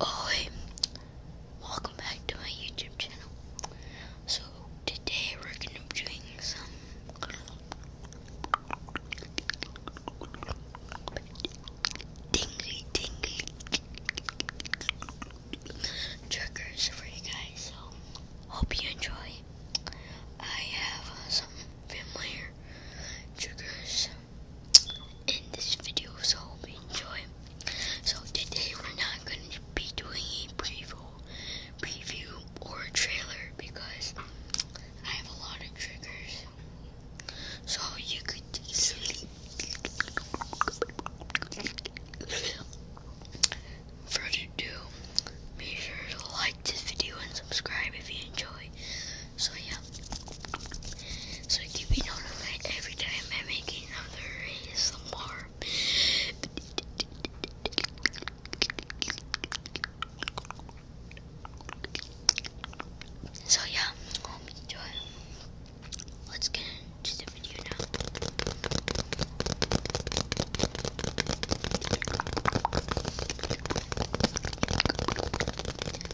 Oi, welcome back to my YouTube channel. So today we're gonna be doing some dingy for you guys. So hope you enjoy. I have some familiar triggers in this video, so enjoy. So today we're not going to be doing a preview, preview or a trailer because I have a lot of triggers. So you could sleep. Further ado, make sure to like this video and subscribe if you enjoy. So yeah. So keep me notified every time I make another ASMR. So yeah, Let's get into the video now.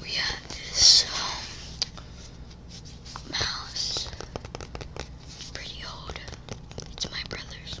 We have this um, mouse, pretty old. It's my brother's.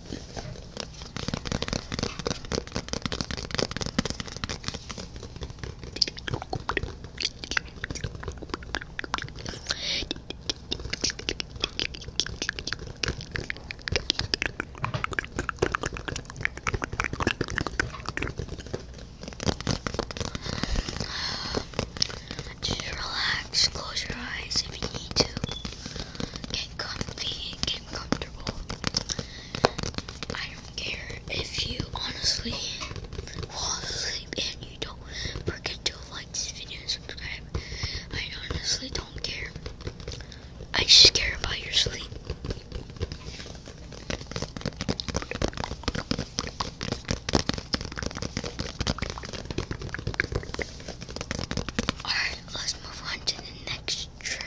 Just relax, close your eyes if you need to. Get comfy, freaking comfortable. I don't care if you honestly fall asleep and you don't forget to like this video and subscribe. I honestly don't care. I just care about your sleep. Alright, let's move on to the next trigger.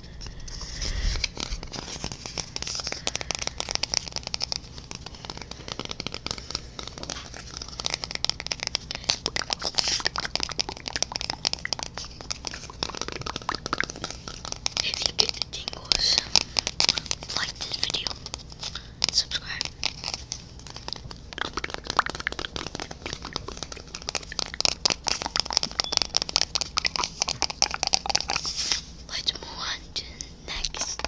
If you get the like this video, subscribe. Let's move on to the next.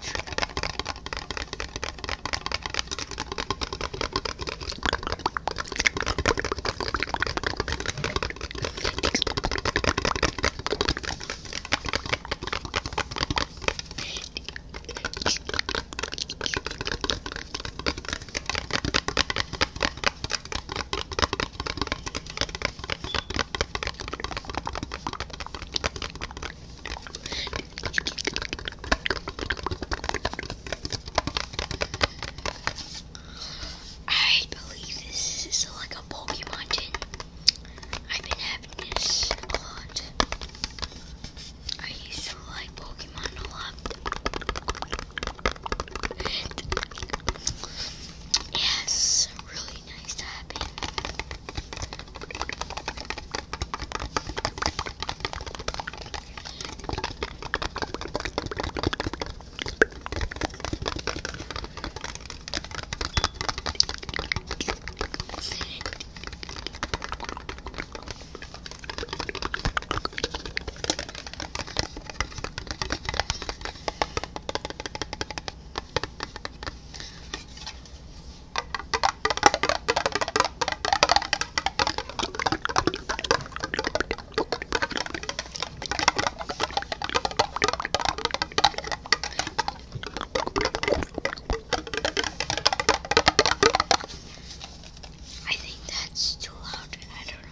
I believe this is like a Pokemon I've been having this a lot. I used to like Pokemon a lot. Yes, really nice tapping. I think that's too loud. I don't know.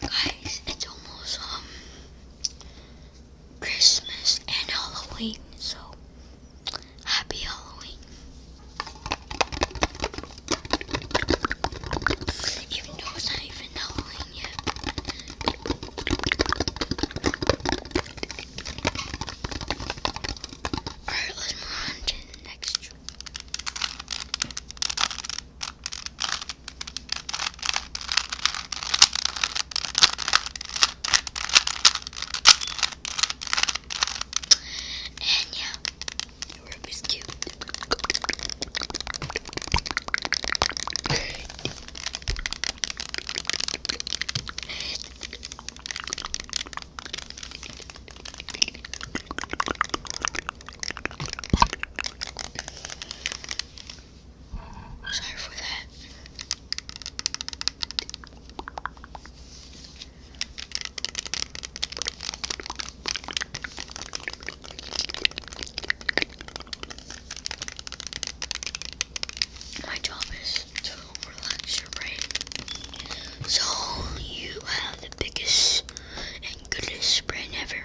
Guys, it's almost um, Christmas and Halloween, so Happy Halloween. Even though it's not even Halloween yet. Alright, let next one. And yeah, Ruby's cute. Sorry for that. My job is to relax your brain so you have the biggest and goodest brain ever.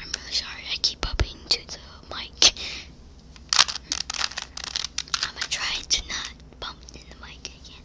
I'm really sorry, I keep bumping to the mic. I'm gonna try to not bump in the mic again.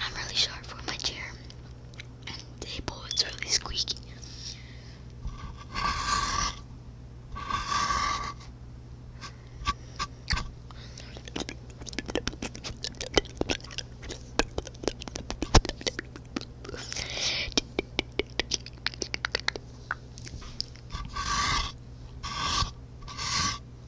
I'm really sharp for my chair, and the table is really squeaky.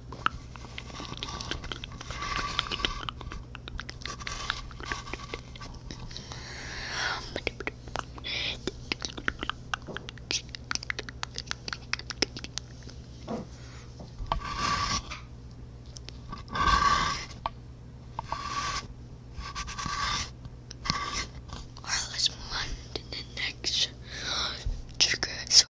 Alright, let's move on to the next trigger.